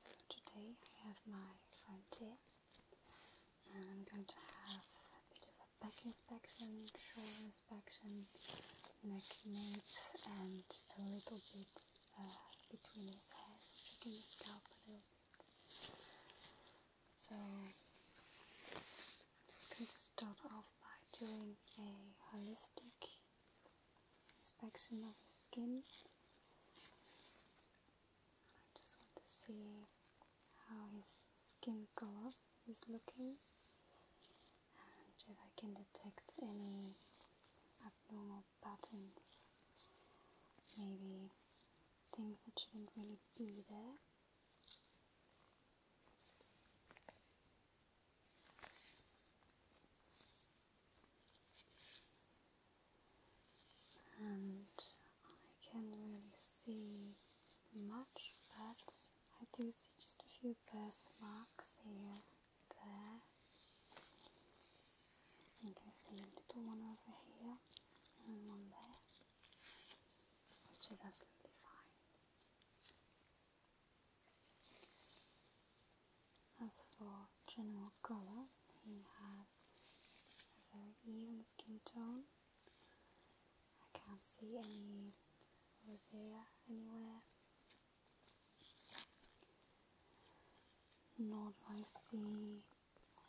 So today I have my friend here and I'm going to have a bit of a back inspection, shoulder inspection, neck nape, and a little bit uh, between his hands, checking his scalp a little bit. So I'm just going to start off by doing a holistic inspection of his skin. I just want to see how his skin color is looking and if I can detect any abnormal patterns, maybe things that shouldn't really be there and I can not really see much, but I do see just a few birthmarks here, there. I think I see a little one over here and one there, which is absolutely fine. As for general color. He has a very even skin tone. I can't see any rosacea anywhere. Nor do I see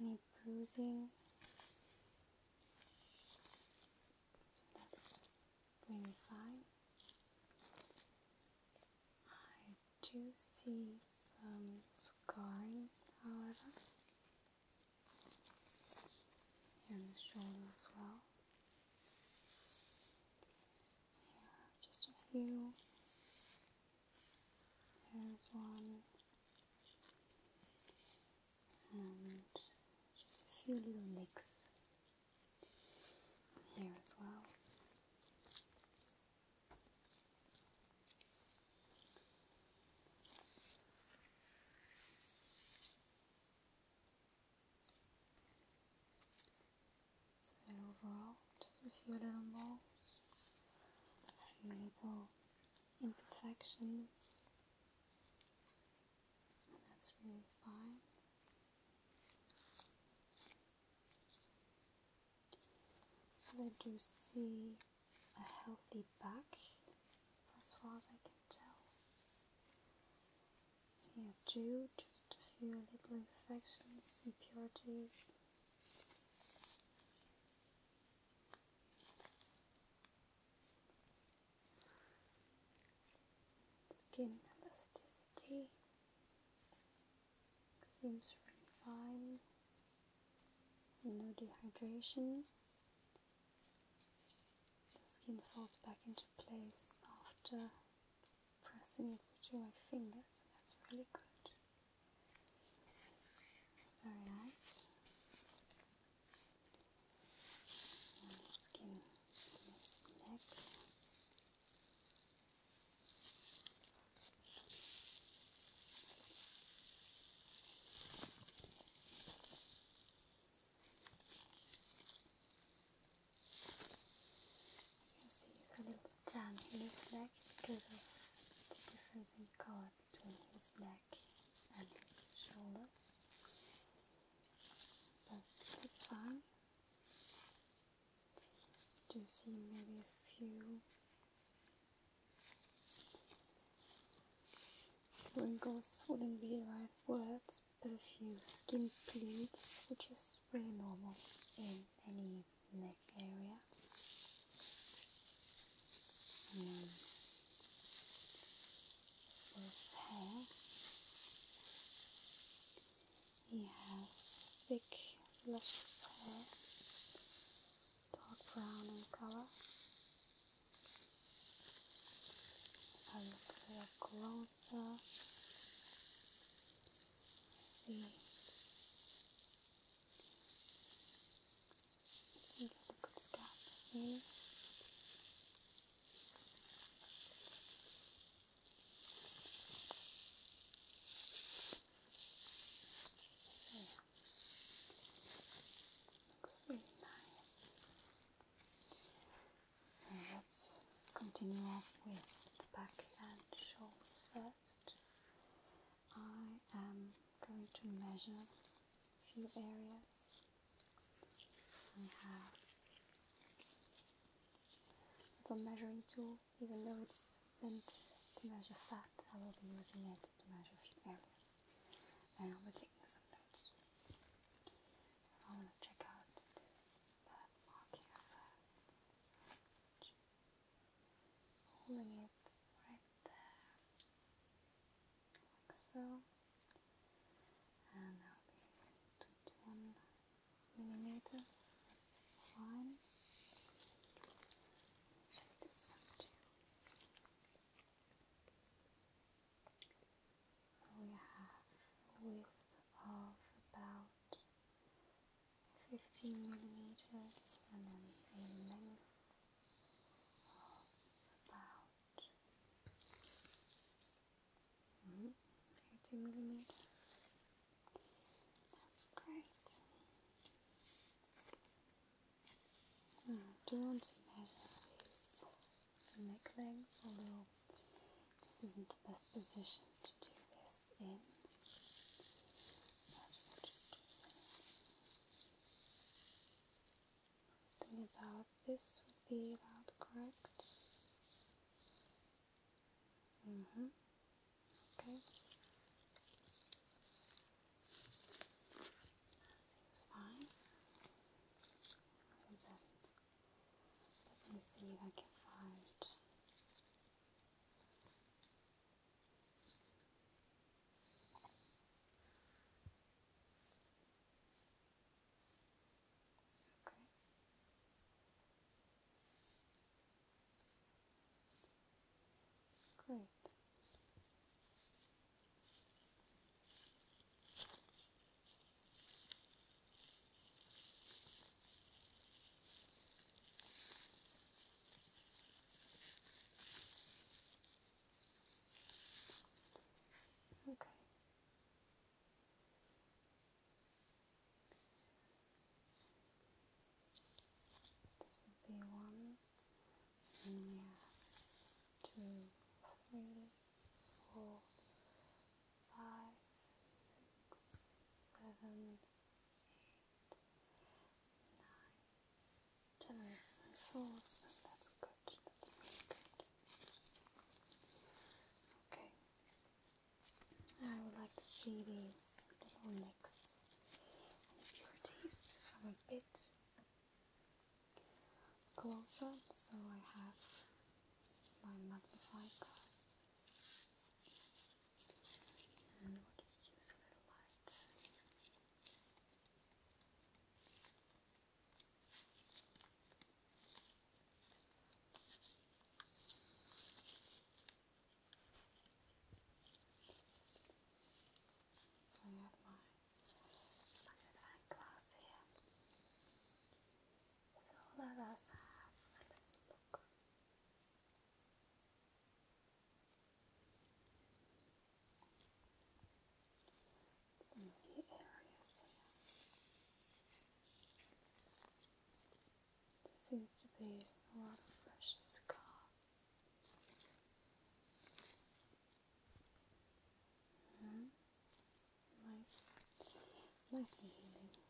any bruising. So that's really fine. I do see some scarring, here on the shoulder as well. just a few. There's one, and just a few little nicks here as well. So overall, just a few little moles, a few little imperfections, and that's really fine. I do see a healthy back, as far as I can tell. Here too, just a few little infections, impurities. Skin elasticity seems fine. No dehydration. The skin falls back into place after pressing it with my fingers. That's really good. Very skin neck. You see it's a little tan in his neck because of the difference in color between his neck and his shoulders. But it's fine. Do you see maybe a few Wrinkles wouldn't be the right word, but a few skin pleats, which is really normal in any neck area. And hair. He has thick, luscious hair dark brown in color. If I look a little closer, I see see like a good scalp here. Looks really nice. So let's continue off with the back and shoulders first. I am going to measure a few areas. I have the measuring tool even though it's meant to measure fat, I will be using it to measure a few areas. And I'll taking some notes. I want to check out this bad here first. holding it right there, like so. And I'll be 21 millimeters one. this one too. So we have a width of about 15 millimeters and then a length of about mm, millimeters. That's great. Hmm, do want to measure these neck length, although this isn't the best position to do this in. But about this would be about correct. Mm-hmm. Okay. seems fine. let me see if I can find Okay. Great. Okay. This would be one, and we two, three, four, five, six, seven, eight, nine, tens and fours, that's good, that's really good. Okay, I would like to see these mix and impurities from a bit closer, so I have my magnifying glass and we'll just use a little light. So I have my magnifying glass here. So let us have a little look. Some key areas here. There seems to be a lot of fresh scar. -hmm. Nice, nice healing. As for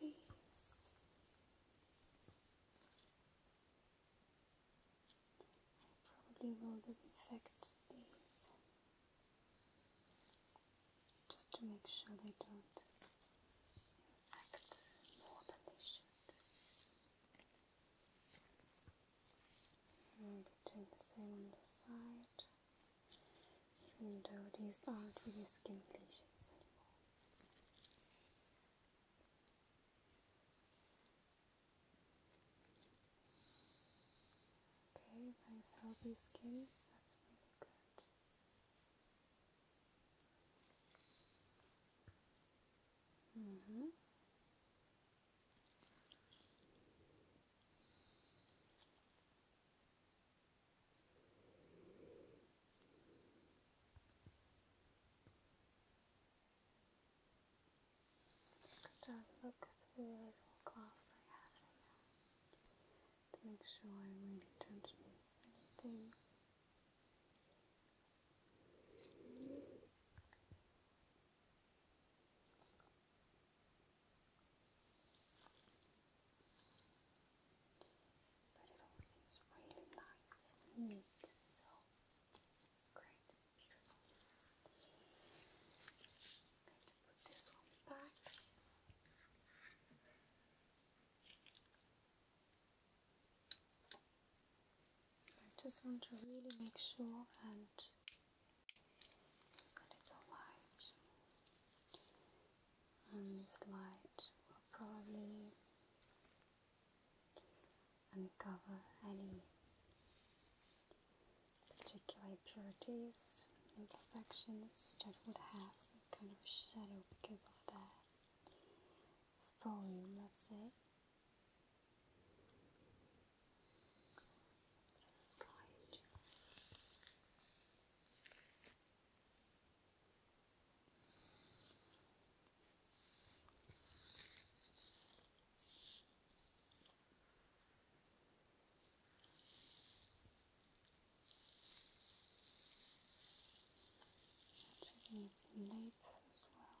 these, I probably will disinfect these just to make sure they don't act more than they should. And doing the same on the side, even though these aren't really skin lesions anymore. Okay, nice healthy skin, that's really good. Mm -hmm. Just look at the little I have right now to make sure I really don't miss anything. But it all seems really nice and neat, so great, beautiful i just want to really make sure and that it's alright. And this light will probably uncover any particular impurities, imperfections that would have some kind of shadow because of that volume, That's it. Checking some nape as well.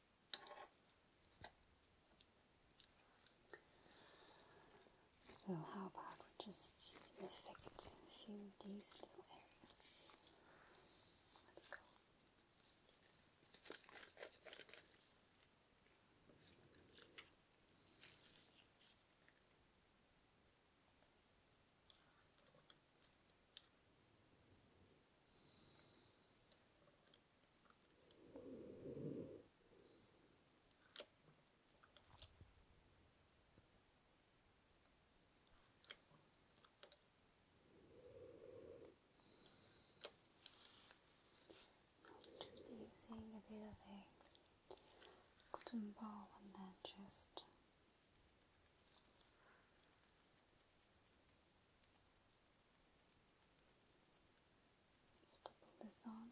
So how about we just disinfect a few of these little areas? Let's go. I'll just be using a bit of a cotton ball and then just Let's double this on. As well.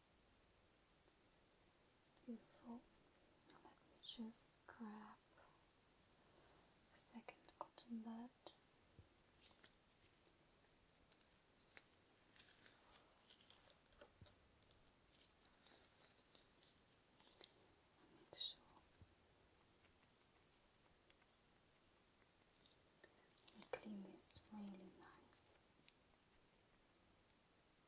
Beautiful. Let me just grab a second cotton bud. Make sure we clean this really nice.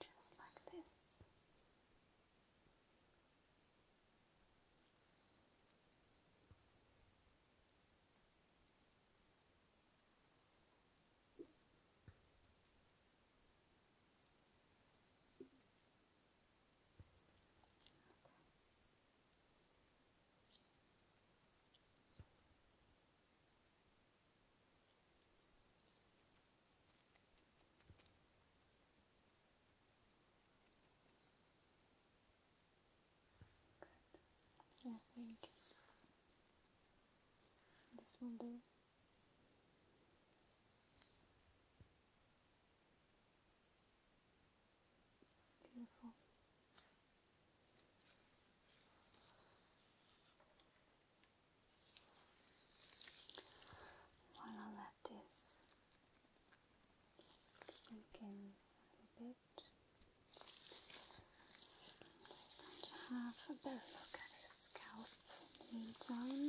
Just like this. Good. Yeah, thank you. This will do. Beautiful. While let this sink in a bit, just going to have a better look at his scalp in the meantime.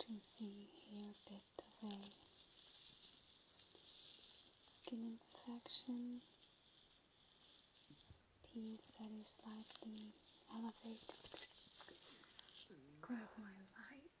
to see here bit of skin infection piece that is slightly elevated grow my light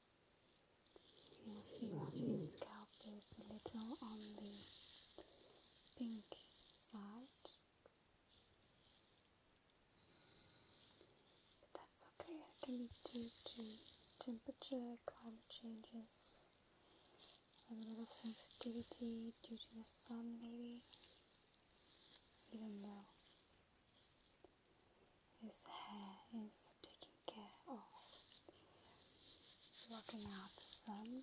Even if you want your scalp is a little on the pink side, but that's okay. It can be due to temperature, climate changes, a little of sensitivity due to the sun, maybe. Even though his hair is taking care of, blocking out the sun.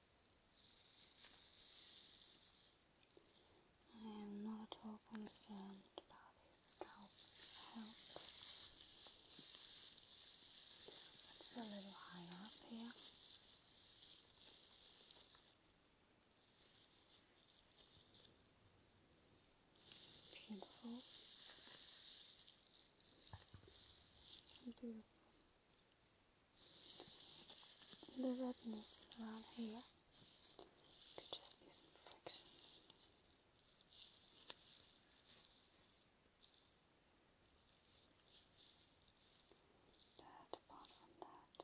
I am not at all concerned about his scalp health. It's a little high up here. Beautiful. Beautiful the redness around here could just be some friction. But apart from that,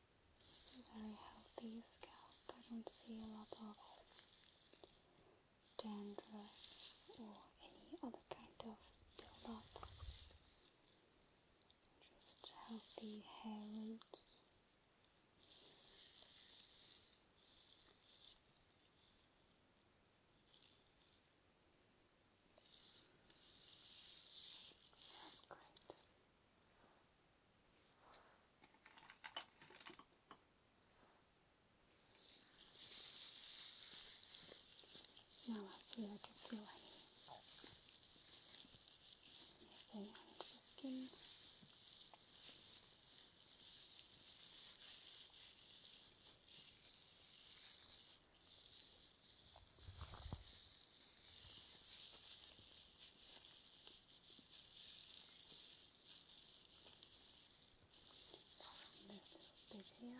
It's a very healthy scalp. I don't see a lot of dandruff or any other kind of buildup. Just healthy hair roots. That's great. Now let's see if I can feel anything under the skin. From this little bit here.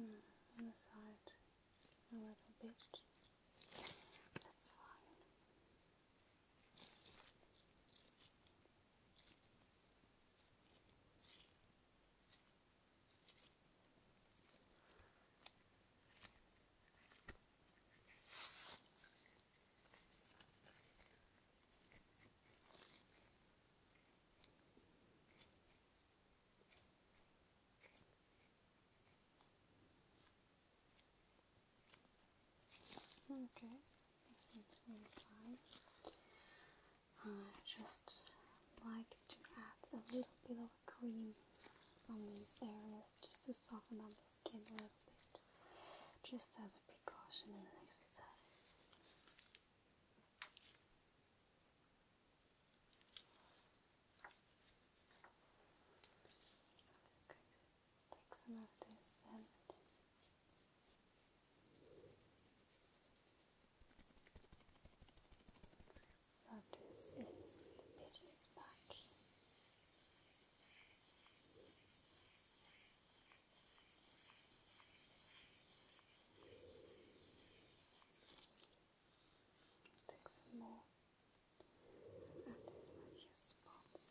Mm, on the side a little bit. That's fine. Okay, this seems really fine. I just like to add a little bit of cream on these areas just to soften up the skin a little bit, just as a precautionary exercise. So I'm going to take some of this and Notice it, it is back. Take some more and add as much spots.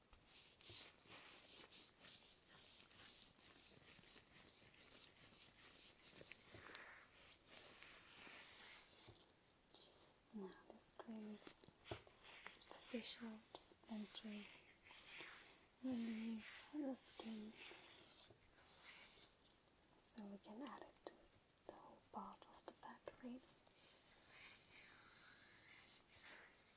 Now this creates superficial dispensary relief the skin so we can add it to the whole of the back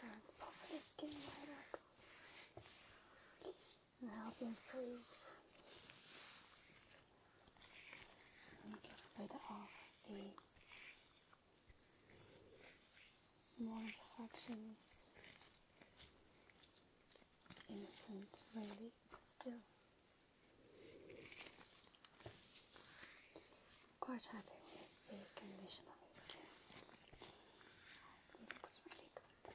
That's soften the skin right up and help improve and get rid of these small imperfections. Innocent, really, still. Quite happy with the condition of his skin. As it looks really good.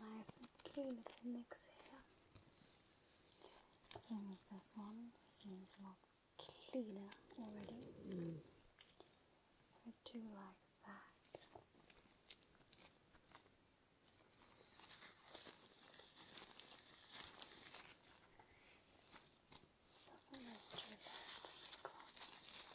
Nice and clean appendix here. Same as this one, seems a lot cleaner already. So I do like that. Doesn't this do that?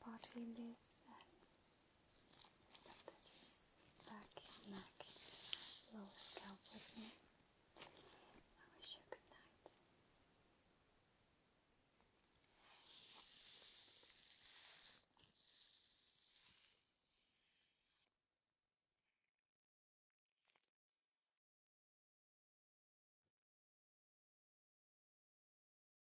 partly in this uh, back neck lower scalp with me. I wish you good night.